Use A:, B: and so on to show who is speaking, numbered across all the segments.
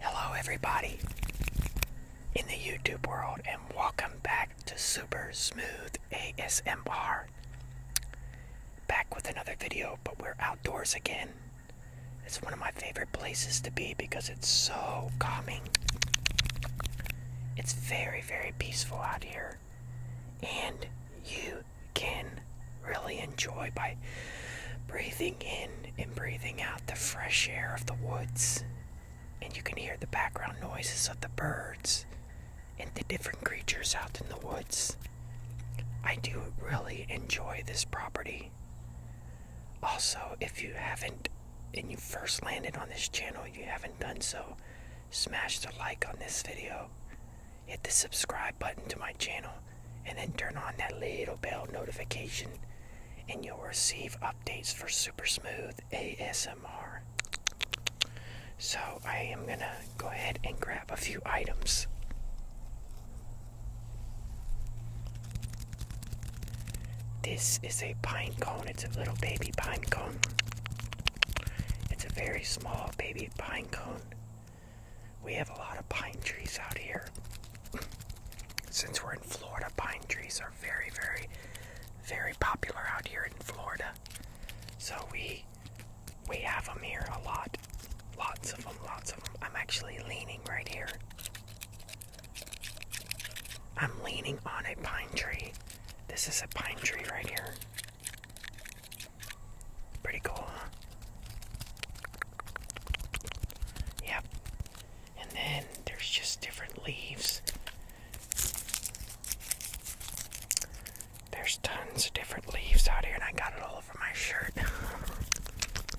A: Hello, everybody in the YouTube world, and welcome back to Super Smooth ASMR. Back with another video, but we're outdoors again. It's one of my favorite places to be because it's so calming. It's very, very peaceful out here, and you can really enjoy by breathing in and breathing out the fresh air of the woods. And you can hear the background noises of the birds and the different creatures out in the woods. I do really enjoy this property. Also, if you haven't and you first landed on this channel, you haven't done so, smash the like on this video. Hit the subscribe button to my channel and then turn on that little bell notification and you'll receive updates for super smooth ASMR. So I am going to go ahead and grab a few items. This is a pine cone. It's a little baby pine cone. It's a very small baby pine cone we have a lot of pine trees out here. Since we're in Florida, pine trees are very, very, very popular out here in Florida. So we we have them here a lot. Lots of them, lots of them. I'm actually leaning right here. I'm leaning on a pine tree. This is a pine tree right here. Pretty cool, huh? Yep. And then there's just different leaves. There's tons of different leaves out here, and I got it all over my shirt.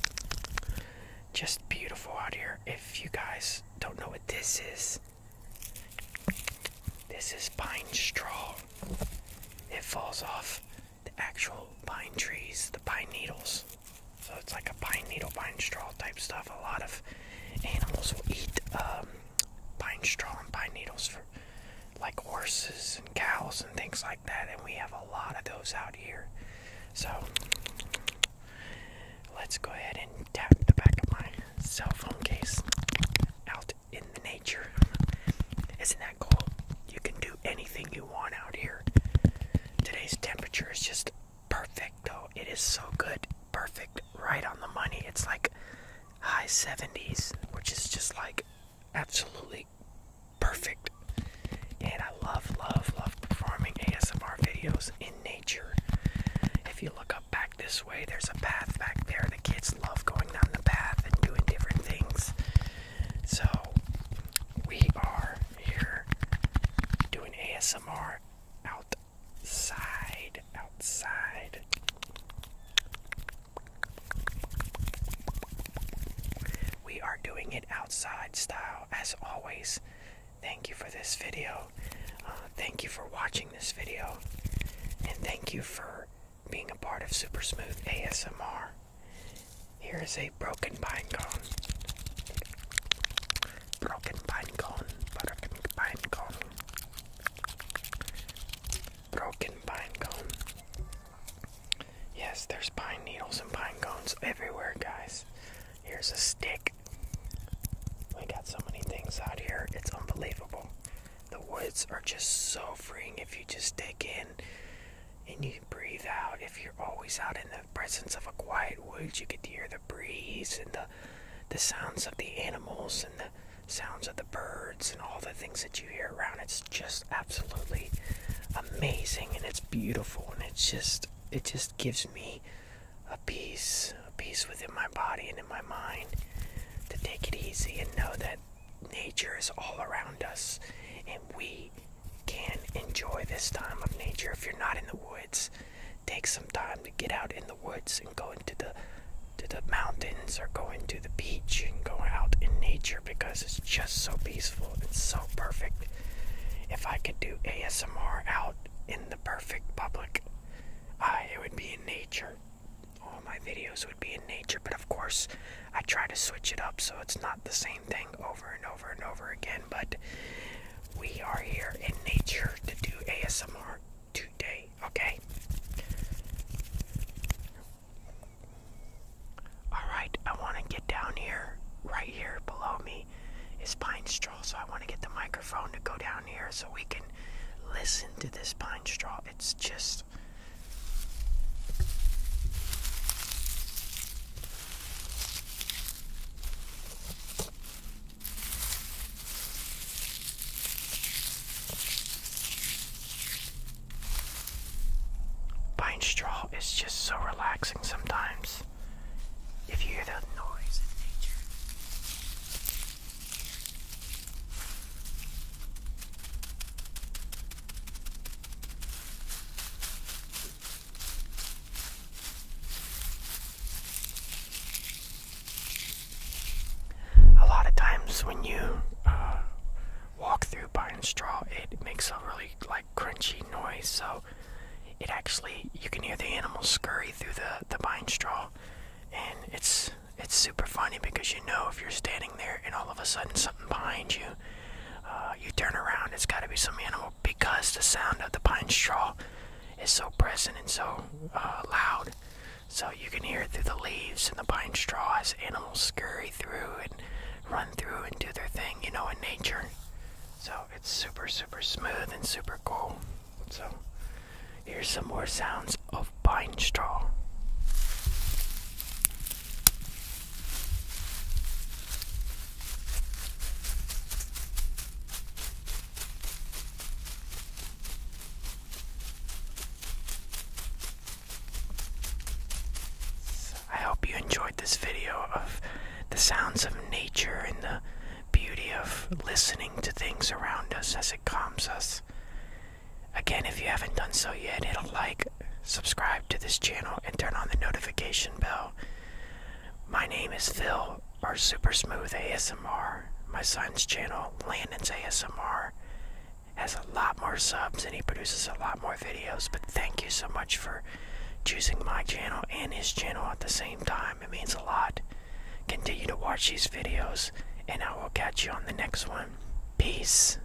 A: just beautiful out here. If you guys don't know what this is, this is pine straw. It falls off the actual pine trees, the pine needles. So it's like a pine needle, pine straw type stuff. A lot of animals will eat um, pine straw and pine needles for like horses and cows and things like that. And we have a lot of those out here. So let's go ahead and tap the back of my cell phone case out in the nature. Isn't that cool? You can do anything you want out here. Today's temperature is just perfect, though. It is so good. Perfect. Right on the money. It's like high 70s, which is just like absolutely perfect. And I love, love, love performing ASMR videos in nature. If you look up back this way, there's a path back there. The kids love going down the path and doing different things. So, we are here doing ASMR outside, outside. We are doing it outside style as always. Thank you for this video. Uh, thank you for watching this video. And thank you for being a part of Super Smooth ASMR. Here is a broken pine cone. Broken pine cone. Broken pine cone. Broken pine cone. Yes, there's pine needles and pine cones everywhere, guys. Here's a stick. We got so many things out here, it's unbelievable. The woods are just so freeing if you just dig in and you deep breathe out. If you're always out in the presence of a quiet woods, you get to hear the breeze and the the sounds of the animals and the sounds of the birds and all the things that you hear around. It's just absolutely amazing and it's beautiful and it's just it just gives me a peace, a peace within my body and in my mind to take it easy and know that nature is all around us and we can enjoy this time of nature if you're not in the woods. Take some time to get out in the woods and go into the to the mountains or go into the beach and go out in nature because it's just so peaceful and so perfect. If I could do ASMR out in the perfect public, it would be in nature. All my videos would be in nature, but of course I try to switch it up so it's not the same thing over and over and over again, but we are here in nature to do ASMR today, okay? Alright, I want to get down here, right here below me is pine straw, so I want to get the microphone to go down here so we can listen to this pine straw. It's just Pine straw is just so relaxing sometimes. If you hear the noise in nature. A lot of times when you uh, walk through pine straw, it makes a really like crunchy noise. So it actually you can hear the animals scurry through the the pine straw, and it's it's super funny because you know if you're standing there and all of a sudden something behind you uh, you turn around, it's got to be some animal because the sound of the pine straw is so present and so uh, loud. So you can hear it through the leaves and the pine straw as animals scurry through and run through and do their thing, you know, in nature. So it's super, super smooth and super cool. So here's some more sounds of pine straw. I hope you enjoyed this video of the sounds of nature and the beauty of listening to things around us as it calms us. Again, if you haven't done so yet, hit a like, subscribe to this channel, and turn on the notification bell. My name is Phil, or Super Smooth ASMR. My son's channel, Landon's ASMR, has a lot more subs and he produces a lot more videos. But thank you so much for choosing my channel and his channel at the same time. It means a lot. Continue to watch these videos, and I will catch you on the next one. Peace.